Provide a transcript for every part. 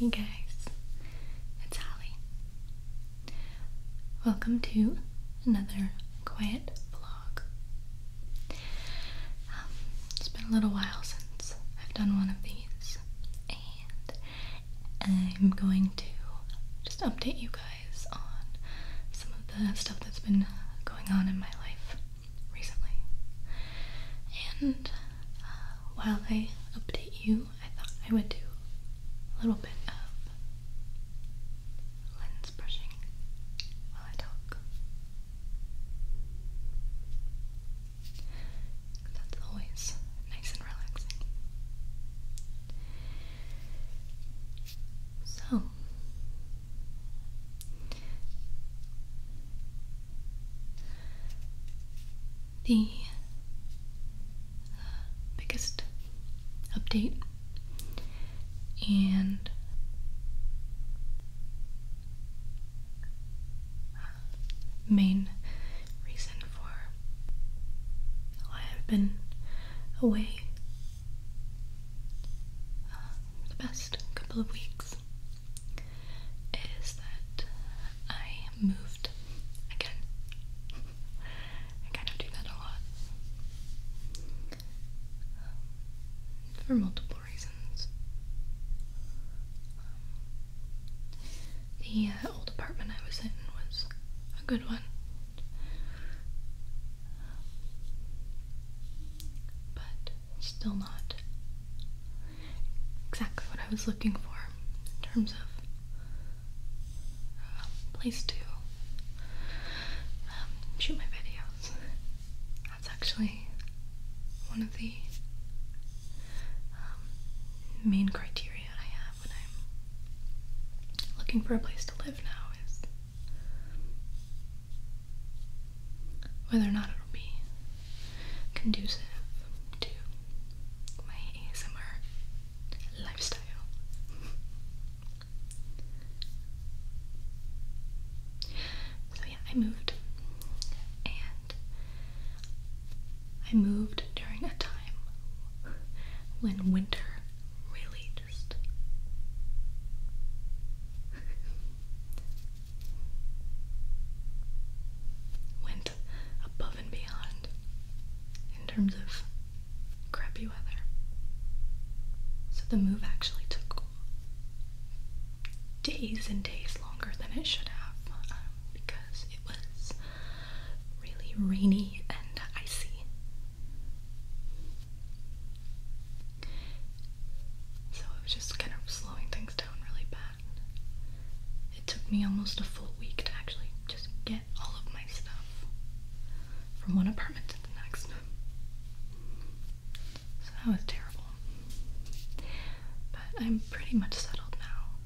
Hey guys, it's Holly. Welcome to another quiet vlog. Um, it's been a little while since I've done one of these, and I'm going to just update you guys on some of the stuff that's been uh, going on in my life recently. And uh, while I update you, I thought I would do a little bit of lens brushing while I talk. That's always nice and relaxing. So, the uh, biggest update and main reason for why I've been away uh, the past couple of weeks is that I moved again. I kind of do that a lot. Um, for multiple reasons. Um, the uh, old apartment I was in was a good one. But still not exactly what I was looking for in terms of a uh, place to um, shoot my videos. That's actually one of the the um, main criteria I have when I'm looking for a place to live now is whether or not it'll be conducive to my ASMR lifestyle. So, yeah, I moved and I moved during a time when winter really just went above and beyond in terms of crappy weather. So the move actually took days and days longer than it should have because it was really rainy and icy. So it was just kind of slowing things down really bad. It took me almost a full week to actually just get all of my stuff from one apartment to the next. So that was terrible. But I'm pretty much settled now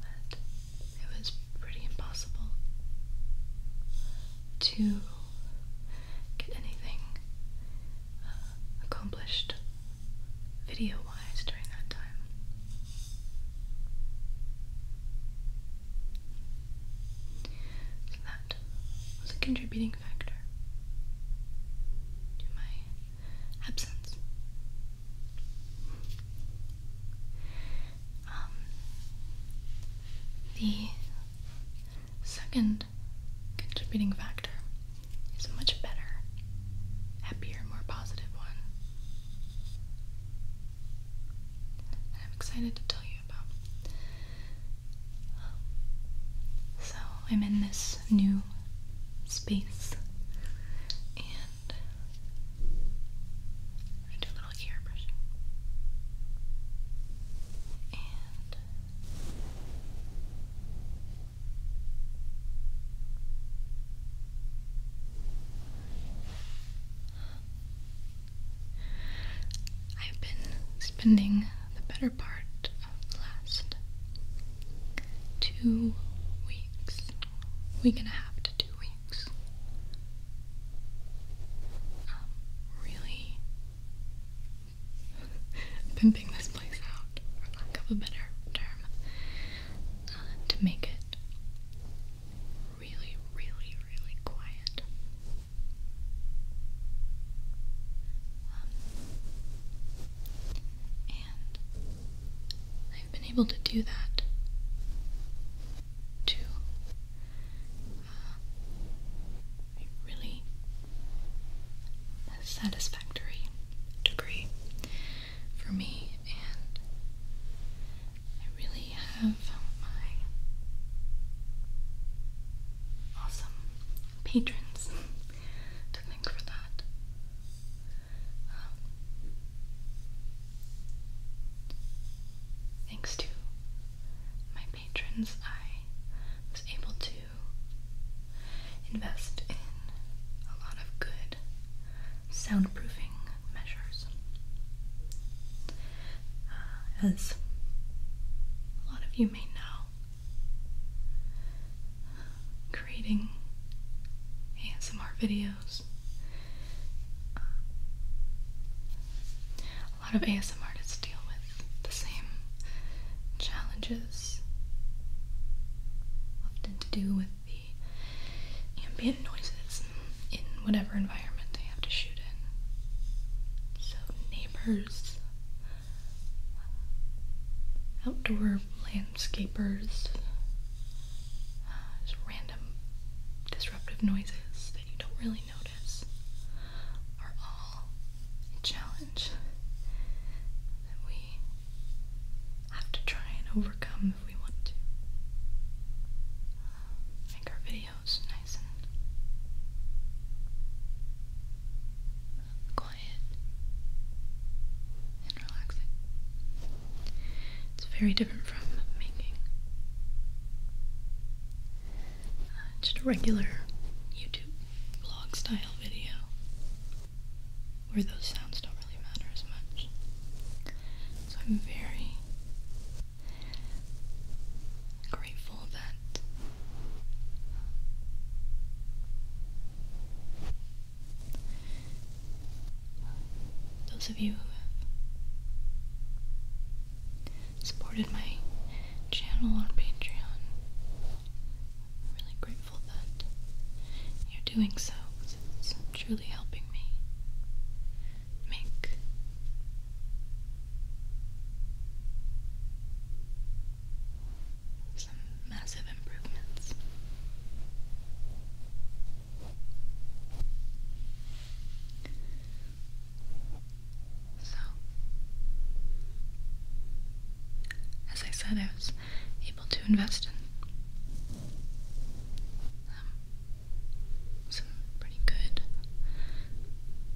that it was pretty impossible to get anything uh, accomplished video wise during that time that was a contributing factor to my absence. Um, the second contributing factor is a much better, happier, more positive one. I'm excited to tell you about. So I'm in this new space and I do a little ear brushing. And I've been spending the better part of the last two weeks. weeks—we're gonna have to two weeks. Um, really pimping this place out, for lack of a better term, uh, to make it really, really, really quiet. Um, and I've been able to do that to uh, really satisfactory degree for me, and I really have my awesome patrons to thank for that. Um, thanks to my patrons, I was able to invest in a lot of good soundproofing measures. Uh, as a lot of you you may know, creating ASMR videos. a lot of ASMR artists deal with the same challenges, often to do with the ambient noises in whatever environment they have to shoot in. So neighbors, outdoor landscapers, uh, just random disruptive noises that you don't really notice are all a challenge that we have to try and overcome if we want to make our video nose nice and quiet and relaxing. It's very different from making uh, just a regular YouTube vlog style video where those sounds don't really matter as much. So I'm very grateful that those of you who have supported my channel on Patreon, I'm really grateful that you're doing so it's truly helping me make some massive improvements. So, as I said, I was able to invest in um, some pretty good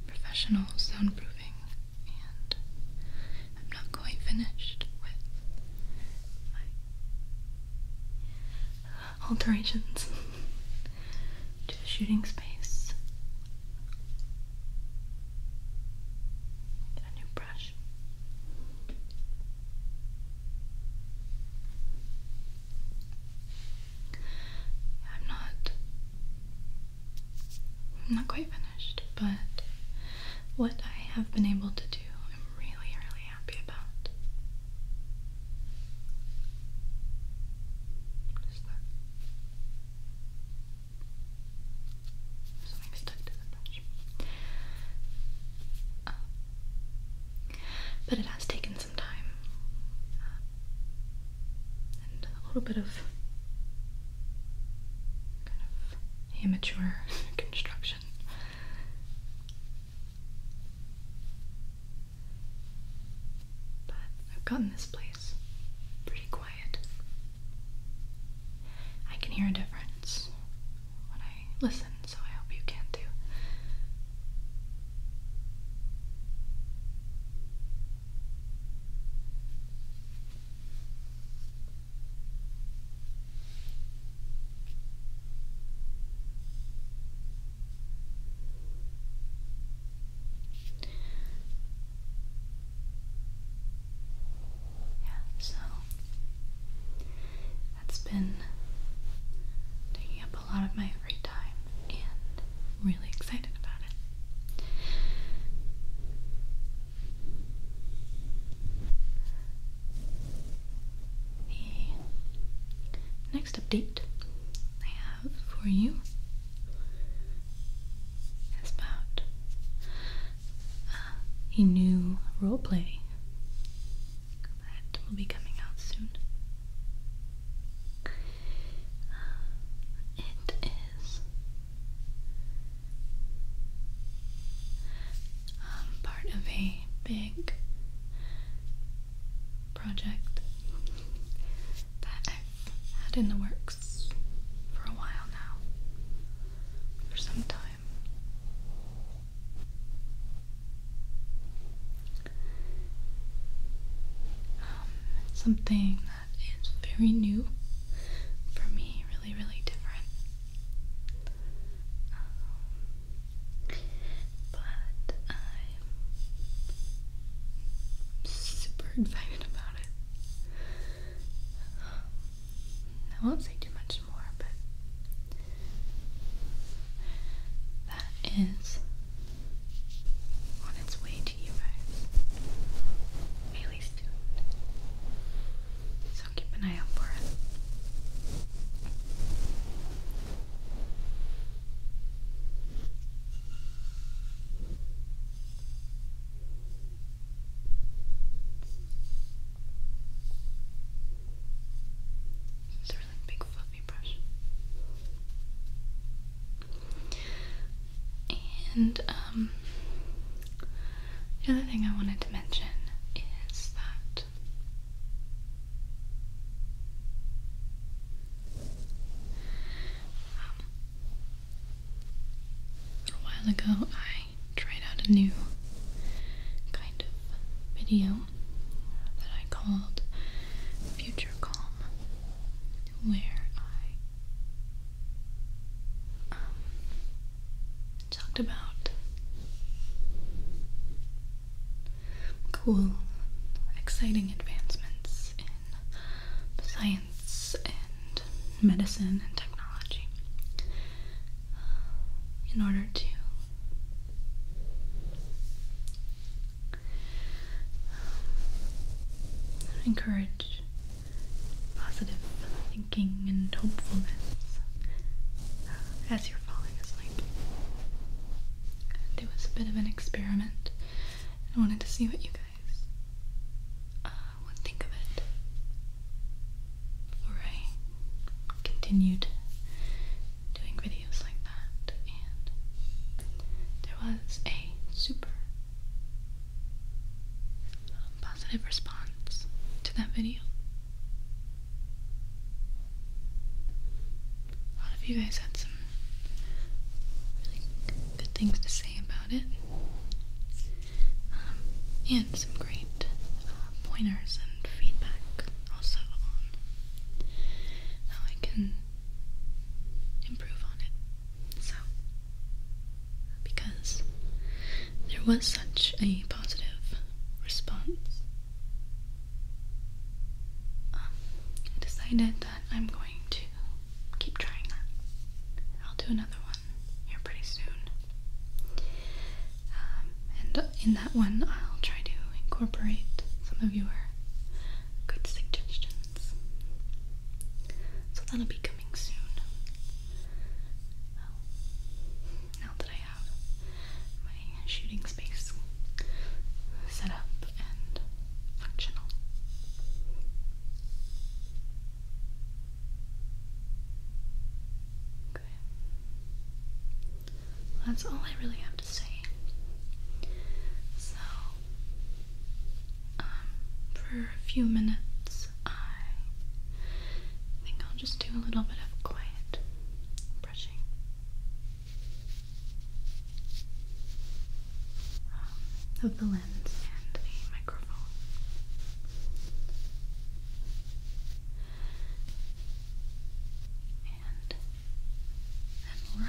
professional soundproofing, and I'm not quite finished with alterations to the shooting space. a new brush. I'm not I'm not quite finished, but what I have been able to do, I'm really, really happy about. Oh. but it has taken some time and a little bit of amateur construction. But I've gotten this place pretty quiet. I can hear a difference when I listen, so I hope you can too. Yeah, so that's been taking up a lot of my my time, and I'm really excited about it. The next update I have for you is about uh, a new role play that will be coming out soon it is um, part of a big project that I've had in the works for a while now, for some time. Um, something that is very new for me, really, really different. Um, but I'm super excited about it. I won't say too much more, but that is on its way to you guys. At least So keep an eye out for it. It's big and um, the other thing I wanted to mention is that a while ago I tried out a new kind of video that I called Future Calm, where I um, talked about cool, exciting advancements in science and medicine and technology uh, in order to encourage positive thinking and hopefulness uh, as you're falling asleep. It was a bit of an experiment. I wanted to see what you guys uh, would think of it before I continued doing videos like that, and there was a super positive response to that video. A lot of you guys had some really good things to say about it, um, and some great uh, pointers and feedback also on how I can improve on it. So, because there was such a positive response, um, I decided that I'm going to keep trying that. I'll do another one here pretty soon. Um, and in that one, I'll try to incorporate some of your good suggestions. So that'll be coming soon. now that I have my shooting space set up and functional. Okay. That's all I really have to say. So, um, for a few minutes, I think I'll just do a little bit of quiet brushing. Um, of the lens and the microphone. And and we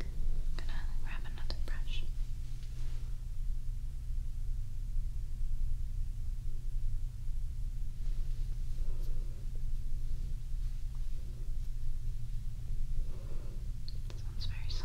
I'm gonna grab another brush. This one's very soft.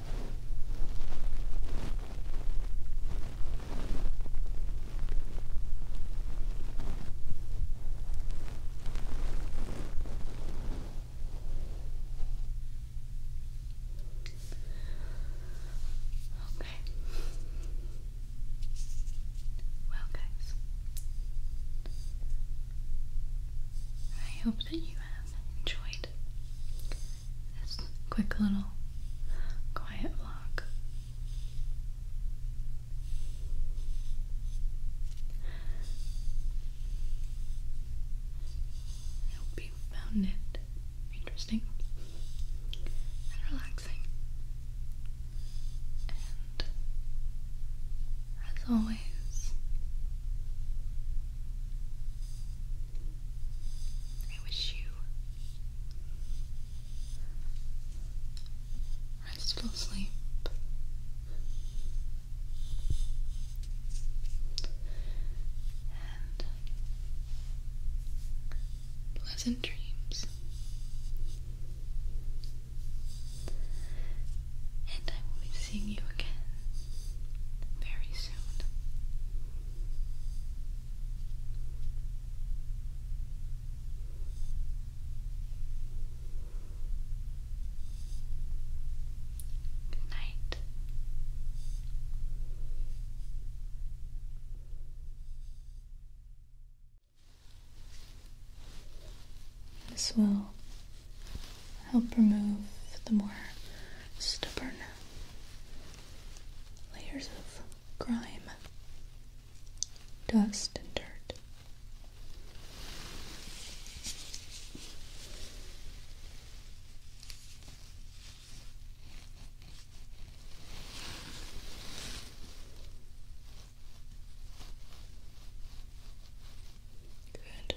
Okay. Well, guys, I hope that you have enjoyed this quick little quiet vlog. I hope you found it interesting and relaxing. And as always, it was you. Restful sleep. And pleasant dreams. And I will be seeing you again very soon. Good night. This will help remove the more stubborn layers of grime, dust, and dirt. Good.